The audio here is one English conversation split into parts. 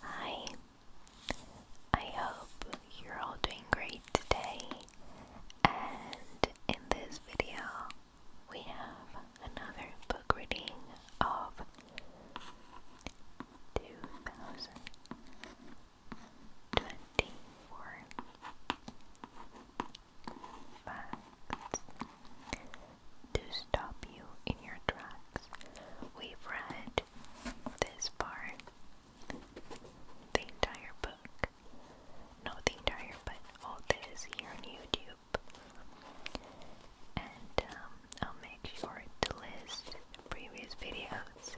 Hi, I hope you're all doing great today, and in this video, we have another book reading of 2024 to stop you in your tracks. We've read this far, the entire book. Not the entire, but all this here on YouTube. And um, I'll make sure to list previous videos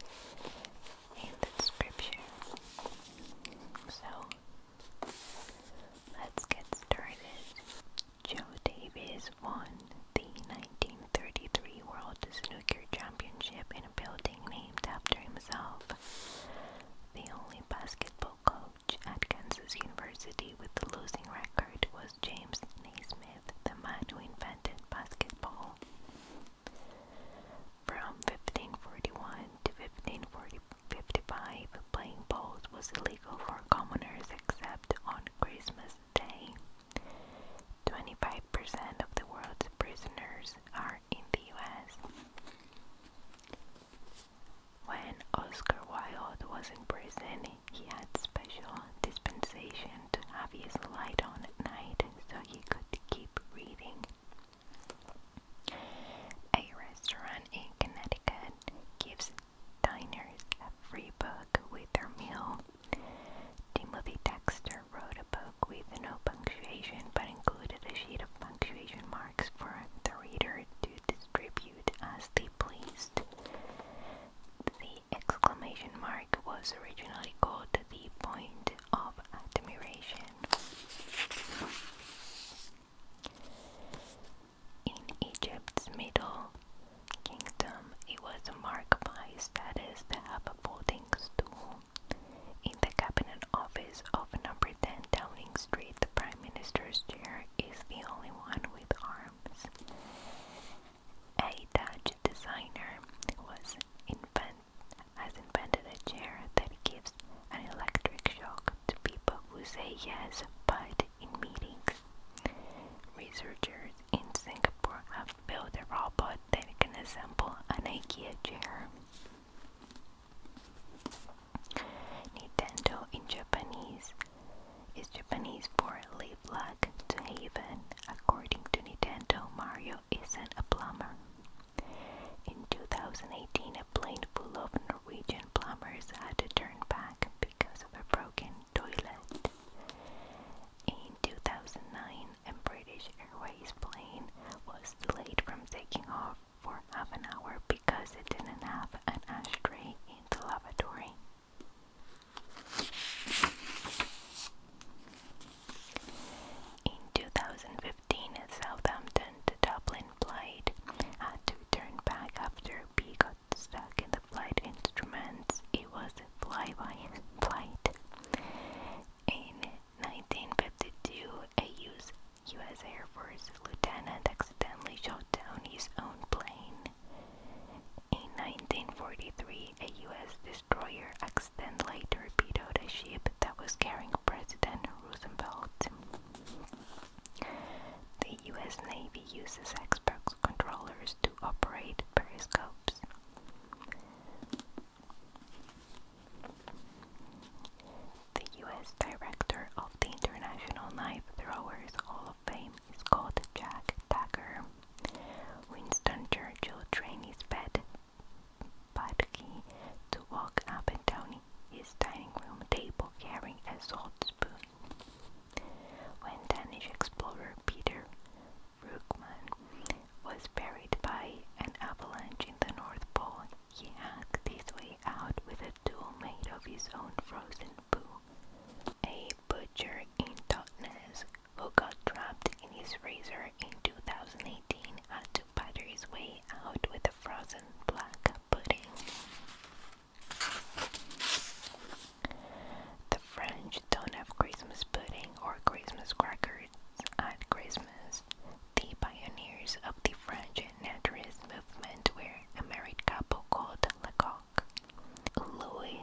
in the description. So, let's get started. Joe Davis won the 1933 World Snooker Championship in a building named after himself. The only basketball coach at Kansas University with the losing record was James Naismith, the man who invented basketball. From 1541 to 1555, playing bowls was illegal for commoners except on Christmas Day. 25% of the world's prisoners are in the US. When Oscar Wilde was in prison, he had special dispensation to have his light on at night so he could keep reading. A restaurant in Connecticut gives diners a free book with their meal. Timothy Dexter wrote a book with no punctuation but included a sheet of punctuation marks for the reader to distribute as they pleased. The exclamation mark was originally called the point of admiration. In Egypt's middle kingdom, it was marked by status to have a voting stool. In the cabinet office of number 10 Downing Street, the Prime Minister's chair is the only one with arms. A Dutch designer was invent has invented a chair that gives an electric shock to people who say yes but in meetings. Researchers in Singapore have built a robot that can assemble an IKEA chair. Nintendo in Japanese is Japanese for live luck to heaven." According to Nintendo, Mario isn't a plumber. In 2018, a plane full of Norwegian plumbers had to turn back because of a broken toilet. In 2009, a British Airways plane was delayed from taking off for half an hour because it didn't have an ashtray in the lavatory. In 2015, a Southampton to Dublin flight had to turn back after B got stuck in the flight instruments, it was a flyby flight. In 1952, a US, US Air Force lieutenant accidentally shot down his own plane. In 1943, a US destroyer accidentally torpedoed a ship that was carrying President Roosevelt. The US Navy uses Xbox controllers to operate periscopes. The US director of the International Knife Throwers Hall of Fame is called Jack Tucker. Winston Churchill trained his pet Budgie to walk up and down his dining room table carrying a salt spoon. When Danish explorer Peter Brookman was buried by an avalanche in the North Pole, he hacked his way out with a tool made of his own frozen poo. A butcher in Totnes who got trapped in his freezer in 2018 had to batter his way out with a frozen black pudding. The French don't have Christmas pudding or Christmas crackers at Christmas. The pioneers of the French naturalist movement were a married couple called Lecoq. Louis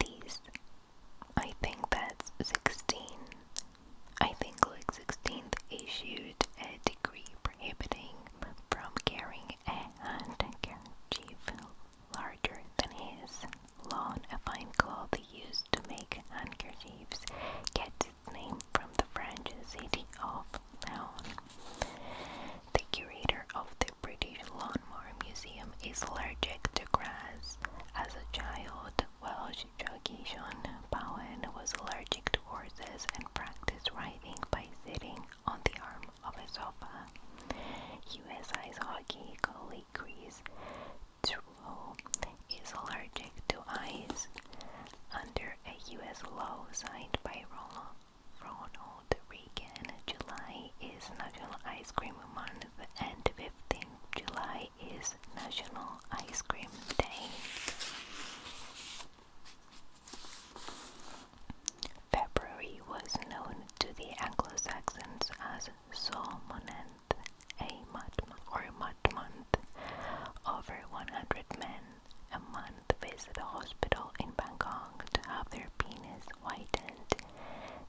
these I think that's 16. I think Louis XVI issued a decree prohibiting from carrying a handkerchief larger than his. Lawn, a fine cloth used to make handkerchiefs, gets its name from the French city of Laon. The curator of the British Lawnmower Museum is allergic to grass. As a child, Welsh jockey John Bowen was allergic to horses and practiced riding by sitting on the arm of a sofa. US ice hockey goalie Chris true, is allergic to ice under a US law signed by Ronald Reagan. July is National Ice Cream Month and 15th July is National Ice Cream Day. February was known to the Anglo-Saxons as Solmonand, a mud or mud month. Over 100 men a month visit a hospital in Bangkok to have their penis whitened.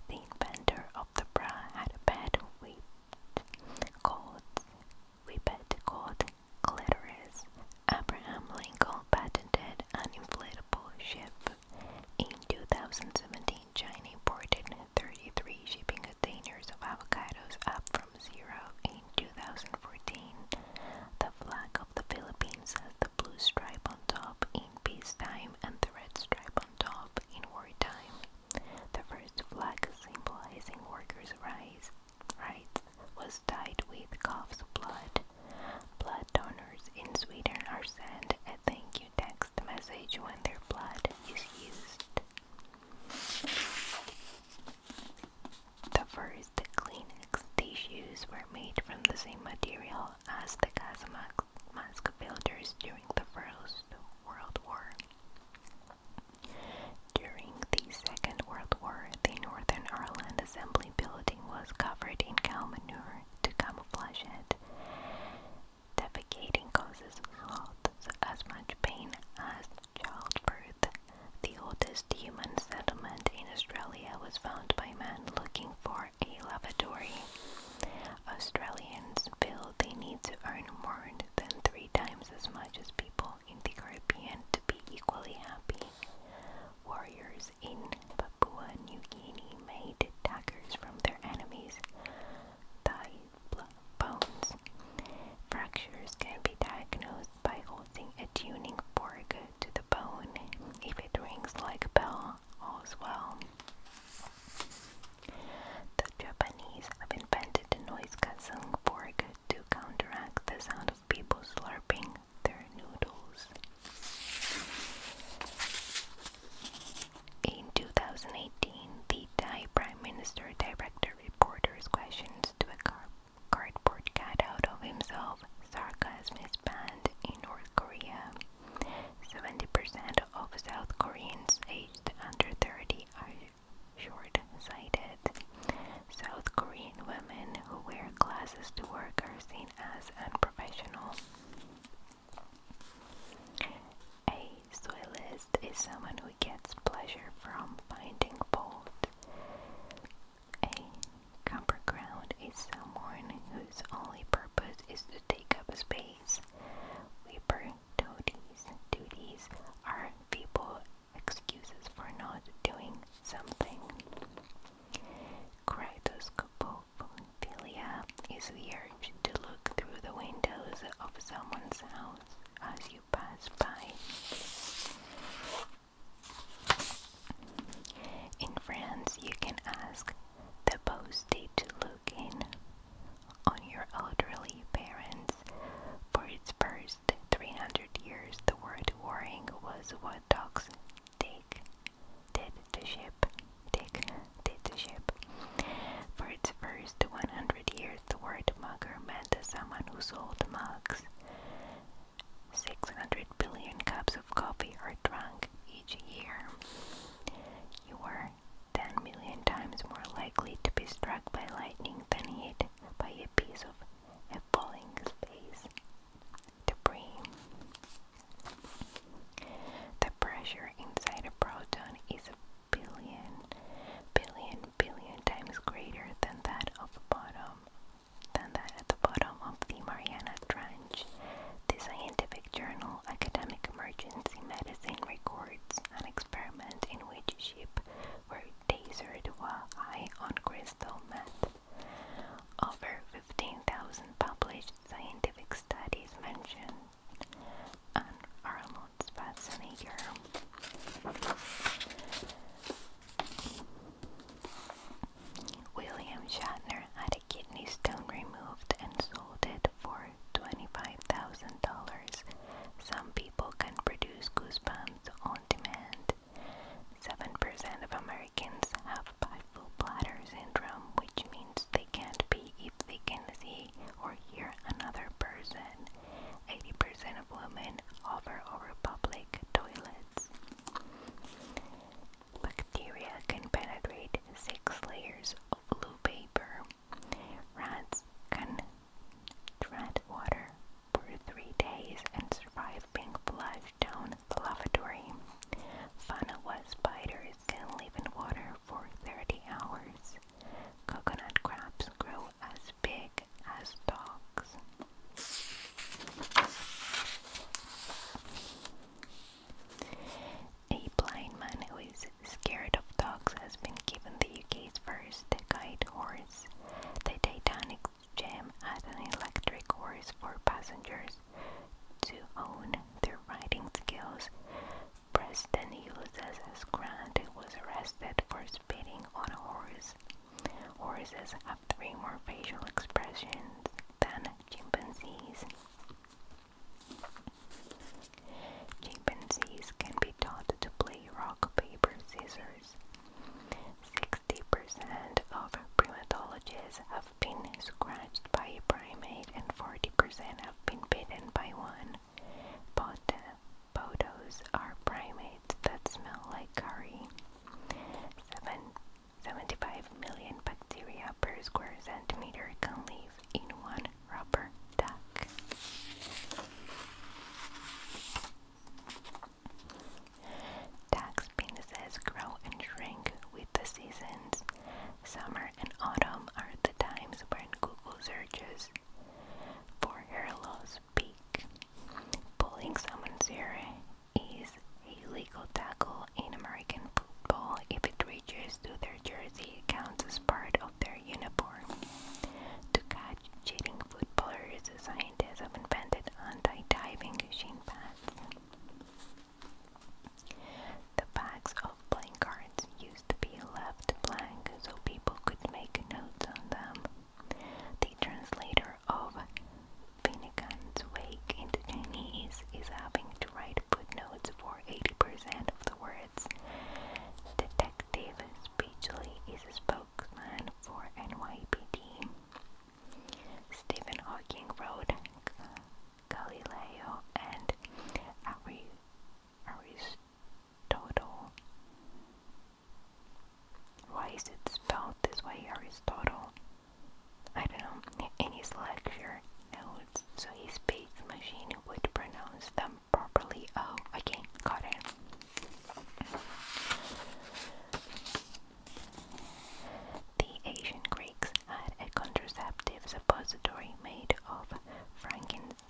The inventor of the bra had a pet whipped called, whippet called clitoris, Abraham Lincoln patented an inflatable ship. In 2017, China imported 33 shipping containers of avocados, up from zero in 2014. The flag of the Philippines has the blue stripe on top in peace time and the red stripe on top in war time. The first flag symbolizing workers' rights was dyed with calf's blood. Blood donors in Sweden are sent a thank you text message when their blood is used. The first Kleenex tissues were made from the same material as the gas mask builders during the First World War. During the Second World War, the Northern Ireland Assembly only building was covered in cow manure to camouflage it. Defecating causes as much pain as childbirth. The oldest human settlement in Australia was found by men looking for a lavatory. Australians feel they need to earn more than three times as much as people in the Caribbean to be equally happy. Warriors in Papua New Guinea made daggers from their enemies' thigh bones. Fractures can be diagnosed by holding a tuning fork to the bone. If it rings like a bell, all's well. The Japanese have invented the noise-canceling fork to counteract the sound of people slurping. In 2018, the Thai Prime Minister directed reporters' questions to a cardboard cutout of himself. Sarcasm is banned in North Korea. 70% of South Koreans aged under 30 are short sighted. South Korean women who wear glasses to work are seen as unprofessional. A soilist is someone who gets pleasure from finding fault. A copper ground is someone whose only purpose is to take up space. Weaver duties, duties are people excuses for not doing something. Kratoscopophilia is the urge to look through the windows of someone's house as you pass by. In France, you can ask the postie to look in on your elderly parents for its first 365 years, the word warring was what dogs take, did to ship, take, did to ship. For its first 100 years, the word mugger meant someone who sold mugs. 600 billion cups of coffee are drunk each year. You are 10 million times more likely to be struck by lightning than hit by a piece of a falling space, debris. The pressure inside a proton is a billion, billion, billion times greater than that of the bottom, than that at the bottom of the Mariana Trench. The scientific journal Academic Emergency Medicine records an experiment in which sheep were tasered while high on crystal meth. Over 15,000 published scientific studies mention Arnold Schwarzenegger. William Shatner had a kidney stone removed and sold it for $25,000. Some people can produce goosebumps on demand. 7% of Americans have bifocal bladder syndrome, which means they can't pee if they can see or hear another person. 80% of women hover over public toilets. Bacteria can penetrate six layers of blue paper. Rats can Tread water for three days and survive being flushed down the lavatory. Funnel spiders can live in water for 30 hours. Coconut crabs grow as big as dogs. A blind man who is scared of dogs has been given the UK's first guide horse. The Titanic Jam had an electric horse for passengers to own their riding skills. President Ulysses S. Grant was arrested for speeding on a horse. Horses have three more facial expressions than chimpanzees. Chimpanzees can be taught to play rock, paper, scissors 60% of primatologists have been scratched by a primate and 40% have been bitten by one. But podos are primates that smell like curry. 75 million bacteria per square centimeter can live in one rubber duck. Tax penises grow and shrink with the seasons. Summer and autumn are the times when Google searches for hair loss peak. Pulling someone's hair is a legal tackle in American football if it reaches to their jersey, it counts as part of their uniform. To cut cheating footballers, scientists have invented anti-diving shin pads. The backs of playing cards used to be left blank so people could make notes on them. The translator of Finnegan's Wake into Chinese is having to write footnotes for 80% of the words. Detectives Beachley is a spokesman for NYPD. Stephen Hawking wrote Galileo and Aristotle. Why is it spelled this way, Aristotle? I don't know. In his lecture notes, so his space machine would pronounce them properly. Oh, okay, got it. The ancient Greeks had a contraceptive suppository made of frankincense,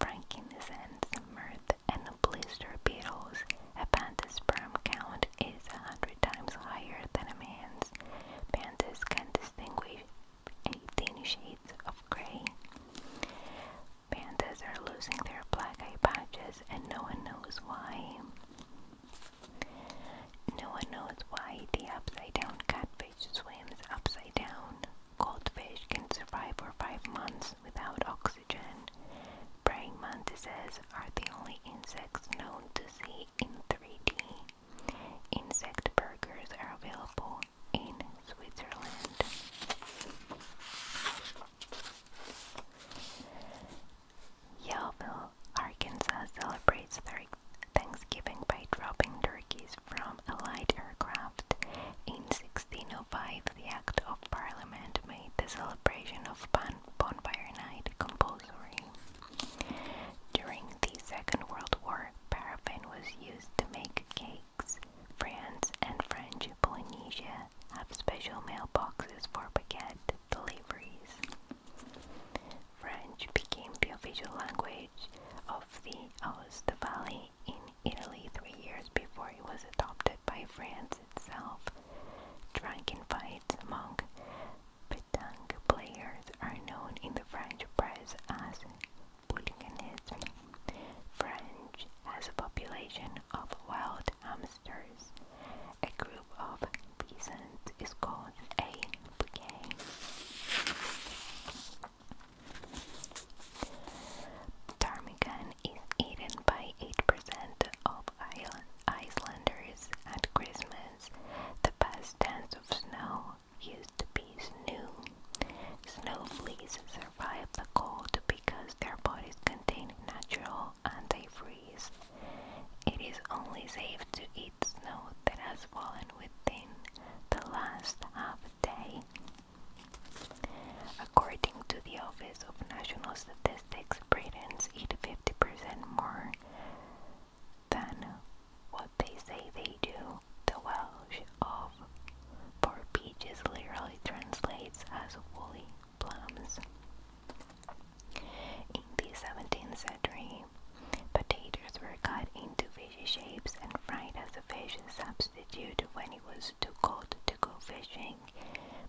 frankincense, myrrh, and blister beetles. A panther's sperm count is a hundred times higher than a man's. Panthers can distinguish 18 shades of gray. Pandas are losing their black eye patches and no one knows why. No one knows why the upside down catfish swims upside down. Goldfish can survive for five months without oxygen. Praying mantises are the only insects known to see in 3D. Insect burgers are available in Switzerland. Yellville, Arkansas celebrates Thanksgiving by dropping turkeys from a light aircraft. In 1605, the Act of Parliament made the celebration of bon Bonfire Night compulsory. During the Second World War, paraffin was used to make cakes France, and French Polynesia have special mailboxes for baguette deliveries. French became the official language of the Aosta Valley in Italy three years before it was adopted by France itself. Drunken fights among petanque players are known in the French press as hooliganism. French as a population of wild hamsters. A group of peasants is called a bouquet. Ptarmigan is eaten by 8% of Icelanders at Christmas, the past dance of snow used to be snow. Snow survive the cold because their bodies contain natural antifreeze. It is only safe to eat snow that has fallen within the last half day. According to the Office of National Statistics, Britons eat 50% more than what they say they do. The Welsh of for peaches literally translates as woolly plums. In the 17th century, potatoes were cut into fish shapes and fried as a fish substitute when it was too cold to go fishing.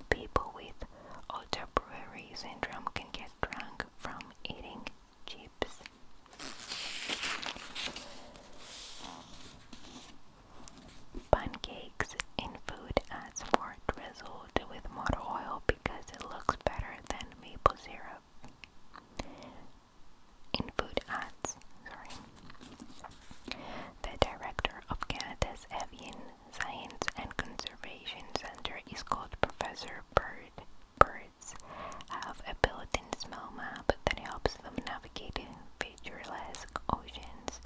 People with otterberry syndrome can get drunk from eating chips. Pancakes in food adds more drizzled with motor oil because it looks better than maple syrup. In food ads, sorry. The director of Canada's Avian Science and Conservation Centre is called Professor Bird. Birds have a built-in smell map that helps them navigate picturesque oceans,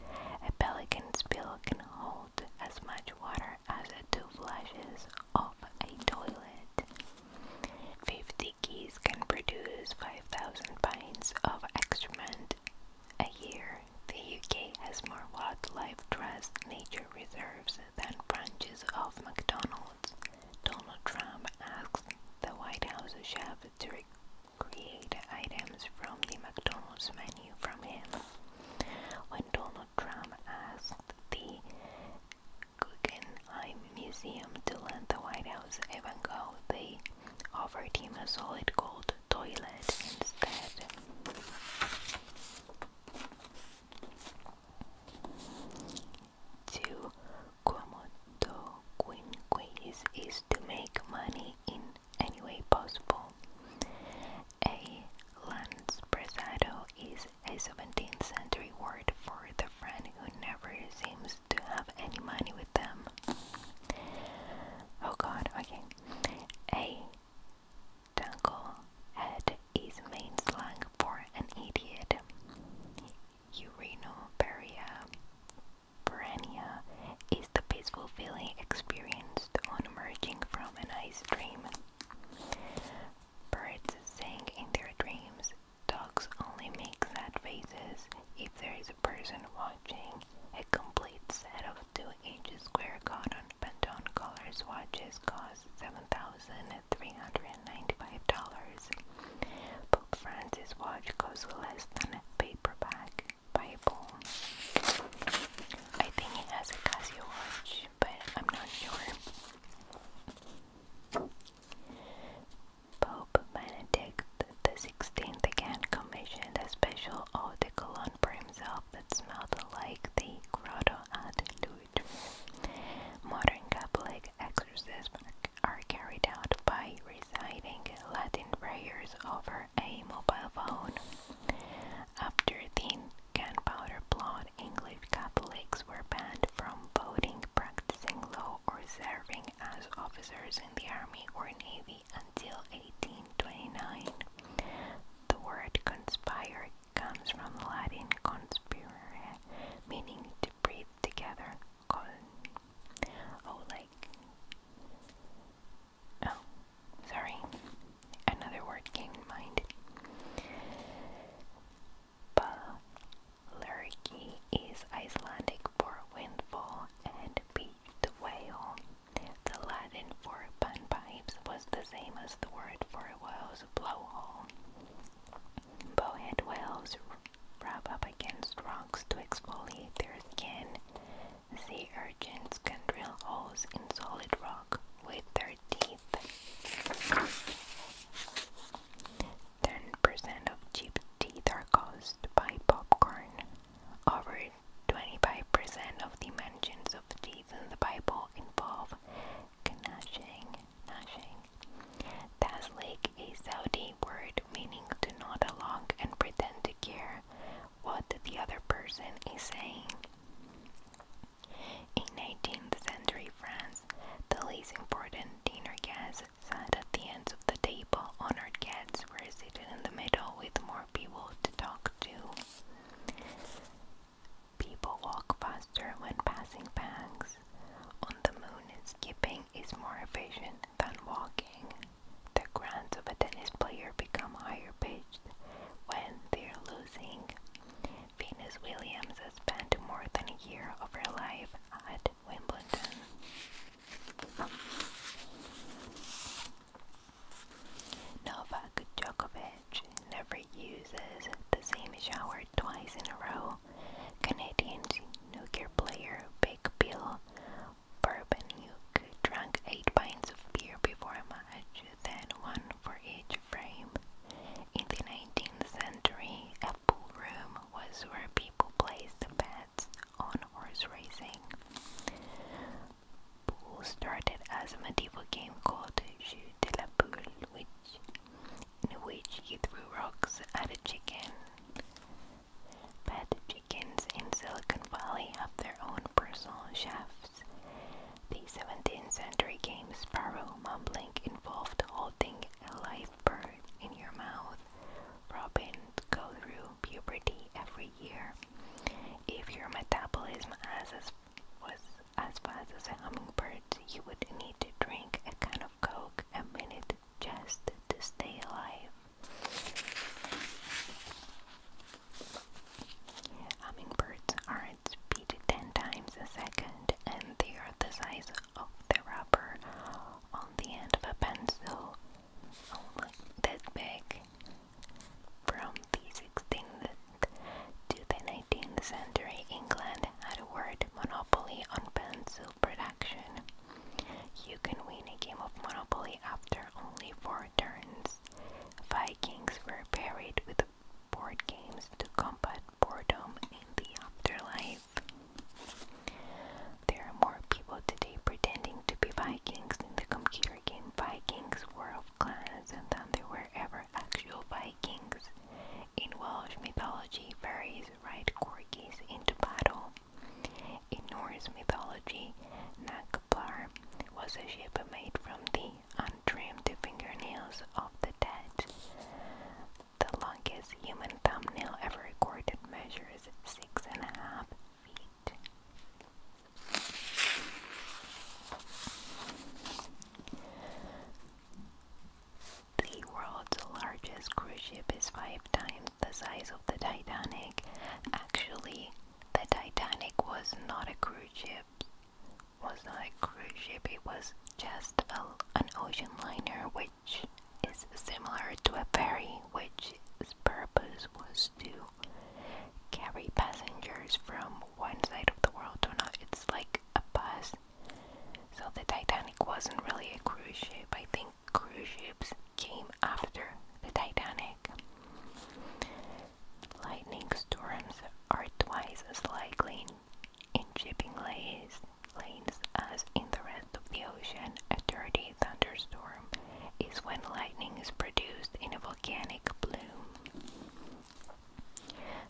a pelican's bill can hold as much water as two flushes of a toilet. Fifty geese can produce 5,000 pints of excrement a year. The UK has more wildlife trust nature reserves than branches of McDonald's. Donald Trump asks the White House chef to create items from the McDonald's menu from him. When Donald Trump asked the Guggenheim Museum to lend the White House a Van Gogh, they offered him a solid gold toilet instead. Quomodo quinquis is to make money in any way possible. A presado is a 17th century word for the friend who never seems to have any money with them. Oh god, okay. A dunkel head is main slang for an idiot. Urinoperia Piranha is the peaceful feeling experienced on emerging from an ice dream. Birds sing in their dreams. Dogs only make sad faces if there is a person watching. A complete set of 2 inches square cotton Pantone colors watches cost $7,395. Pope Francis' watch costs less than a paperback Bible. I think it has a Casio watch, but I'm not sure. Pope Benedict XVI again commissioned a special eau de cologne that smelled like the grotto at Modern Catholic exorcism are carried out by reciting Latin prayers over a mobile phone. After the gunpowder plot, English Catholics were banned from voting, practicing law, or serving as officers in the army or navy until 1829. The word conspire comes from Latin conspirare, meaning to breathe together oh like oh sorry another word came mind Balerki is Icelandic for windfall and beaked whale. The Latin for bunpipes was the same as the word for whale's blowhole. Bowhead whales Rub up against rocks to exfoliate their skin. Sea urchins can drill holes in solid rock with their teeth. 10% of cheap teeth are caused by popcorn. Over 25% of the mentions of teeth in the Bible involve gnashing, gnashing. That's like a Saudi word meaning to nod along and pretend to care what the other person is saying. In 19th century France, the least important dinner guests sat at the ends of the table, honored guests were seated in the middle with more people to talk to. People walk faster when passing bags. On the moon, skipping is more efficient than walking. The grants of a tennis player become higher pitched when they're losing. Venus Williams has spent more than a year of her life at Wimbledon. Novak Djokovic never uses the same shower twice in a row. Canadian snooker player Big Bill Burbanuk drank eight pints of beer before a match, then one for each frame. In the 19th century, a pool room was where people placed bets on horse racing. Pool started as a medieval game called Jeu de la Poule, in which you threw rocks at a chicken. But chickens in Silicon Valley have their own personal chefs. The 17th century game sparrow mumbling involved holding a live bird in your mouth. Robins go through puberty every year. If your metabolism as was as fast as a hummingbird's, you would need to drink a can of Coke a minute just to stay alive. Hummingbirds are at 10 times a second and they are the size of the rubber on the end of a pencil, only oh that big. From the 16th to the 19th century, England had a word monopoly on pencil production. You can win a game of Monopoly after only four turns. Vikings were buried with board games to combat boredom in the afterlife. There are more people today pretending to be Vikings in the computer game Vikings War of Clans than there were ever actual Vikings. In Welsh mythology, fairies ride corgis into battle. In Norse mythology, Nakpar was a ship made from the untrimmed fingernails of the dead. The longest human thumbnail ever recorded measures six and a half feet. The world's largest cruise ship is five times the size of the Titanic. Actually, the Titanic was not a cruise ship. Was not a cruise ship. It was just a, an ocean liner, which is similar to a ferry, which purpose was to carry passengers from one side of the world to another. It's like a bus. So the Titanic wasn't really a cruise ship. I think cruise ships came after the Titanic. Lightning storms are twice as likely in shipping lanes, lanes as in the rest of the ocean. A dirty thunderstorm is when lightning is produced in a volcanic plume.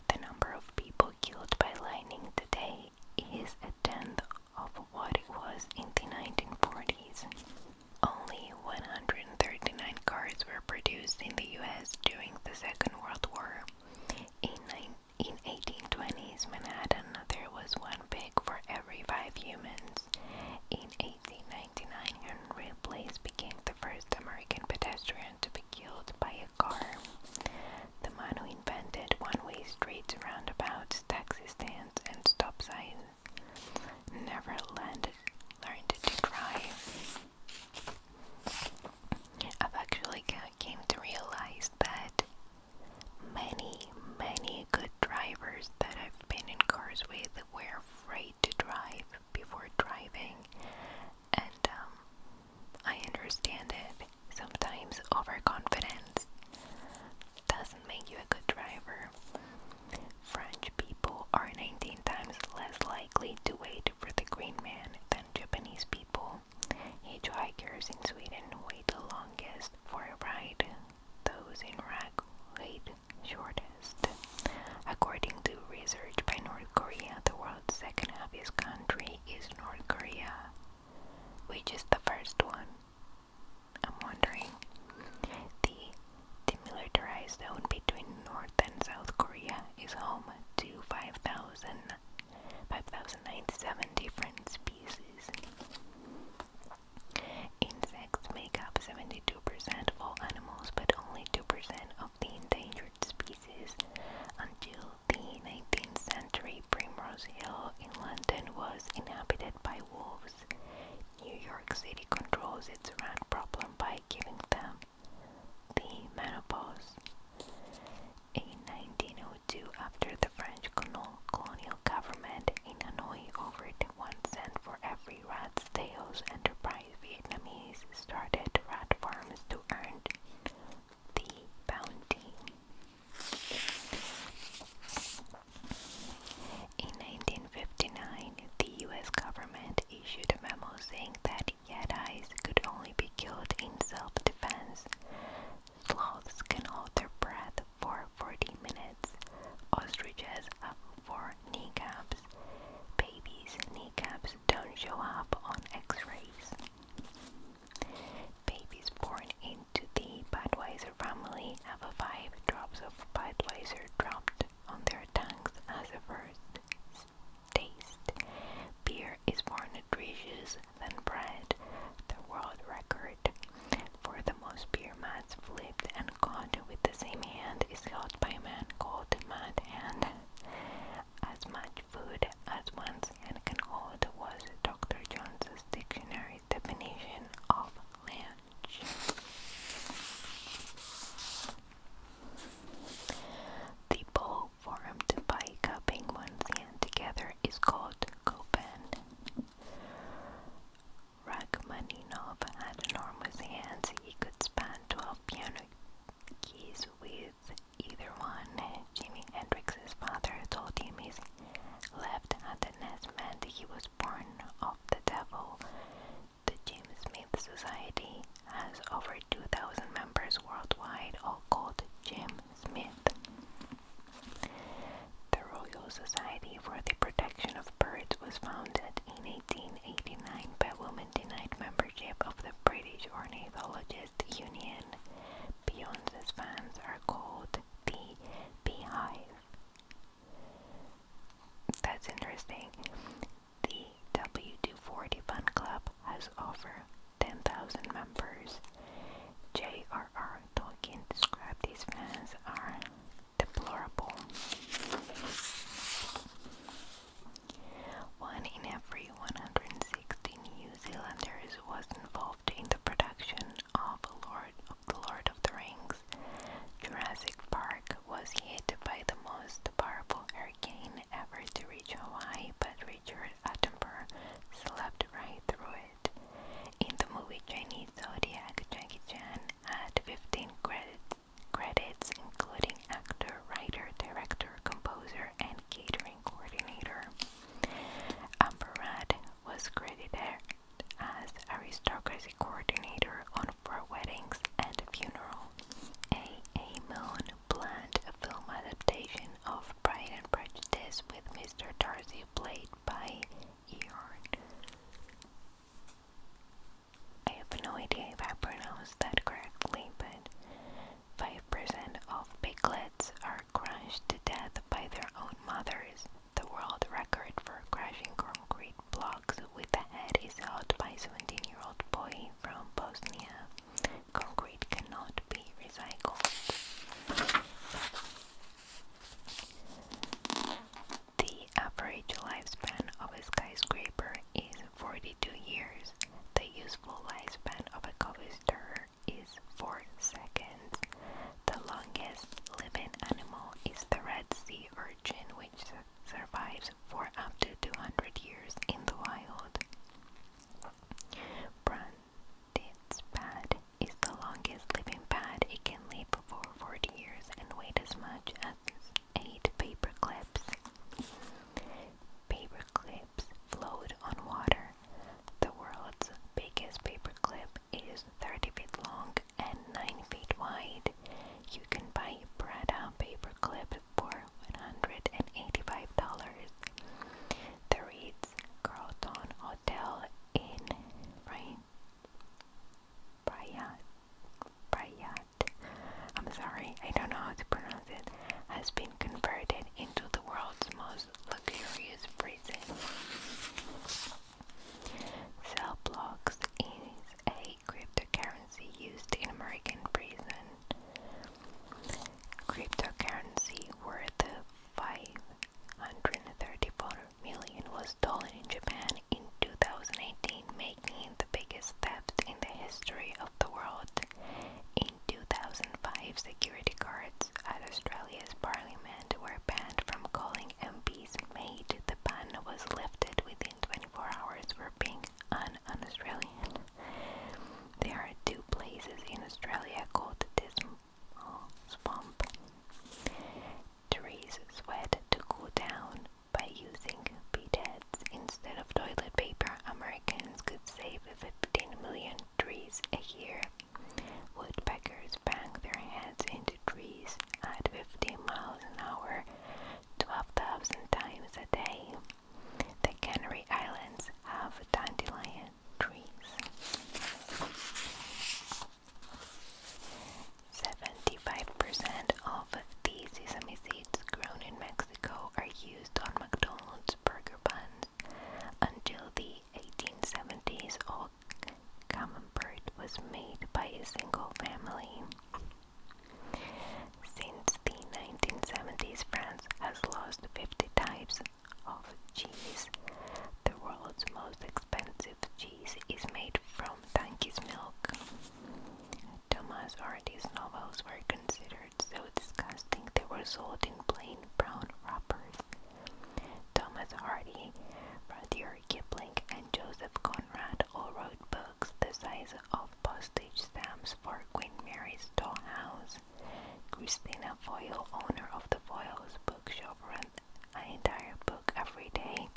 The number of people killed by lightning today is a tenth of what it was in the 1940s. Only 139 cars were produced in the US during the Second World War. In, in 1820s Manhattan, there was one pig for every five humans. In 1899, Henry Place became the first American pedestrian to be killed by a car the man invented one-way streets, roundabouts, taxi stands, and stop signs, never learned, to drive. I've actually came to realize that many, many good drivers that I've been in cars with were afraid to drive before driving, and um, I understand it. Sometimes overconfidence doesn't make you a good driver. French people are 19 times less likely to wait for the green man than Japanese people. Hitchhikers in Sweden wait the longest for a ride. Those in Iraq wait shortest. According to research by North Korea, the world's second happiest country is North Korea, which is the first one. I'm wondering the demilitarized zone between North and South Korea is home to 5,997 different species. Insects make up 72% of all animals, but only 2% of the endangered species until the 19th century Primrose Hill in London was inhabited by wolves. New York City controls its rat problem by giving them the menopause. In 1902, after the French colonial government in Hanoi offered one cent for every rat sales enterprise, Vietnamese started rat farms to earn the Bounty. In 1959, the US government issued a memo saying that Yedis could only be killed in self defense. Sloths can hold their breath for 40 minutes, ostriches have four kneecaps, babies' kneecaps don't show up on x rays. Babies born into the Budweiser family have five drops of Budweiser dropped on their tongues as a first taste. Beer is more nutritious than bread. The world record for the most beer mats flipped and caught with the same hand is held by a man called Mad Hand as much food as one, and can hold was Dr. Jones's dictionary definition of lunch. The bowl formed by cupping one's hand together is called kopan. Rachmaninov had enormous hands. He could span 12 piano keys with either one, Jimi Hendrix's father told the amazing left handedness meant he was born of the devil. The James Smith Society has over 2,000 members worldwide, all called Jim Smith. The Royal Society for the Protection of Birds was founded in 1889 by women denied membership of the British Ornithologists Union. Berlin. Beyonce's fans are called the Beehive. That's interesting. The W240 Fun Club has over 10,000 members. J.R.R. Tolkien described these fans are deplorable. One in every one hundred. 16 New Zealanders was involved in the production of the Lord of the Rings. Jurassic Park was hit by the most powerful hurricane ever to reach Hawaii, but Richard Attenborough slept right through it. In the movie Chinese Zodiac, Jackie Chan had 15 credits including actor, writer, director, composer, and catering coordinator. Amberrad was credited as aristocracy coordinator on Four Weddings and a A. A. Moon planned a film adaptation of Pride and Prejudice with Mr. Darcy played by Eorn. I have no idea if I pronounced that correctly, but 5% of piglets are crushed to death by their own mothers. The world record for crushing concrete blocks with the head is held by 17 year old boy from Bosnia. Concrete cannot be recycled. The average lifespan of a skyscraper is 42 years. The useful lifespan of a coffee stirrer is 4 seconds. The longest living animal is the Red Sea urchin, which survives for up to 200 years in the wild. Branded's pad is the longest living pad. It can live for 40 years and weigh as much as 8 paperclips. clips float on water. The world's biggest paperclip is 30 feet long and 9 feet wide. You can buy a Prada paperclip for $185. The Ritz Carlton Hotel in Brian, Bryat, I'm sorry, I don't know how to pronounce it, has been converted into the world's most luxurious prison. Cell blocks is a cryptocurrency used in American prison. Cryptocurrency worth 534 million was stolen in Japan in 2018, making it the biggest theft in the history of the world. 2005 security guards at Australia's parliament were banned from calling MPs mate. The ban was lifted within 24 hours for being an australian There are two places in Australia called this small swamp. Trees sweat to cool down by using bed heads instead of toilet paper. Americans could save 15 million trees a year. Woodpeckers bang their heads into trees at 50 miles an hour 12,000 times a day. The Canary Islands have dandelion trees. 75% of the sesame seeds grown in Mexico are used on McDonald's burger buns. Until the 1870s, all common bread was made by a single family. Since the 1970s, France has lost 50 types of cheese. The world's most expensive cheese is made from donkey's milk. Thomas Hardy's novels were considered t-shirts so disgusting they were sold in plain brown wrappers. Thomas Hardy, Rudyard Kipling, and Joseph Conrad all wrote books the size of postage stamps for Queen Mary's dollhouse. Christina Foyle, owner of the Foyle's bookshop, ran an entire book every day,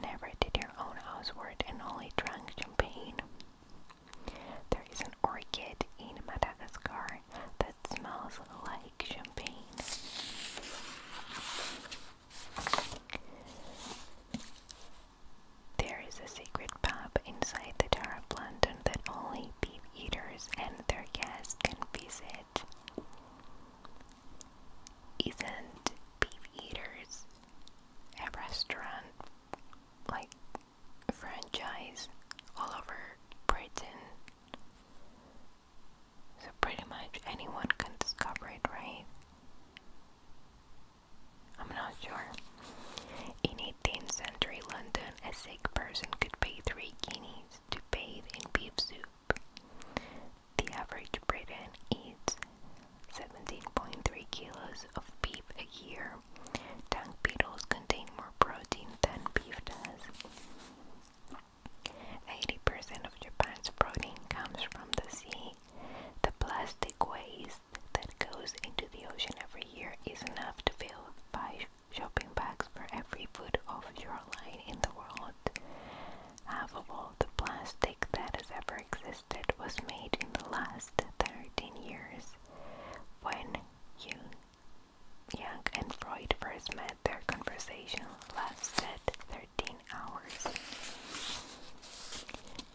never did her own housework, and only drank champagne. There is an orchid in Madagascar that smells like champagne. There is a secret pub inside the Tower of London that only beef eaters and their guests can visit. Isn't beef eaters a restaurant like franchise all over Britain. So pretty much anyone can discover it, right? I'm not sure. In 18th century London, a sick person could pay three guineas to bathe in beef soup. The average Briton eats 17.3 kilos of beef a year. Tongue beetles contain more protein than beef does. 80% of Japan's protein comes from the sea. The plastic waste that goes into the ocean every year is enough to fill five shopping bags for every foot of shoreline in the world. Half of all the plastic that has ever existed was made in the last 13 years. When Jung, Young and Freud first met, their conversation lasted 13 hours.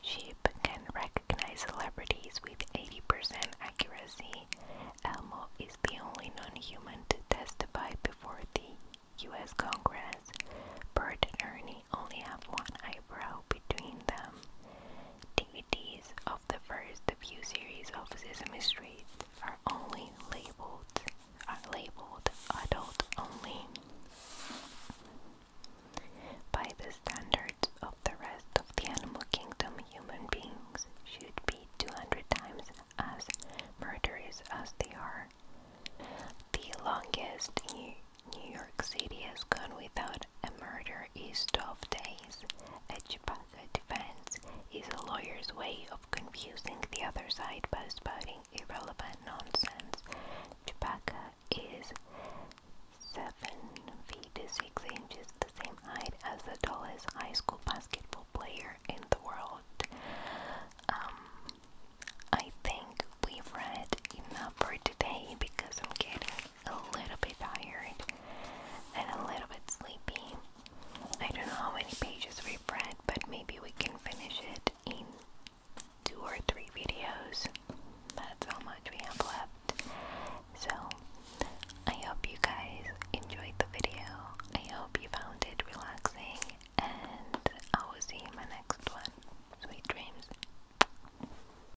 Sheep can recognize celebrities with 80% accuracy. Elmo is the only non human to testify before the US Congress. Bert Ernie only have one eyebrow between them. DVDs the first few series of Sesame Street are only labeled are labeled adult only. By the standards of the rest of the animal kingdom, human beings should be 200 times as murderous as they are. The longest New York City has gone without a murder is 12 days ways. A the defense is a lawyer's way of confusing the other side by spouting irrelevant nonsense. Chipaka is 7 feet 6 inches, the same height as the tallest high school basketball player in the world. Um, I think we've read enough for today because I'm getting a little bit tired and a little bit sleepy. I don't know how many pages we've read, but maybe we can finish it in two or three videos. That's how much we have left. So, I hope you guys enjoyed the video. I hope you found it relaxing, and I will see you in my next one. Sweet dreams.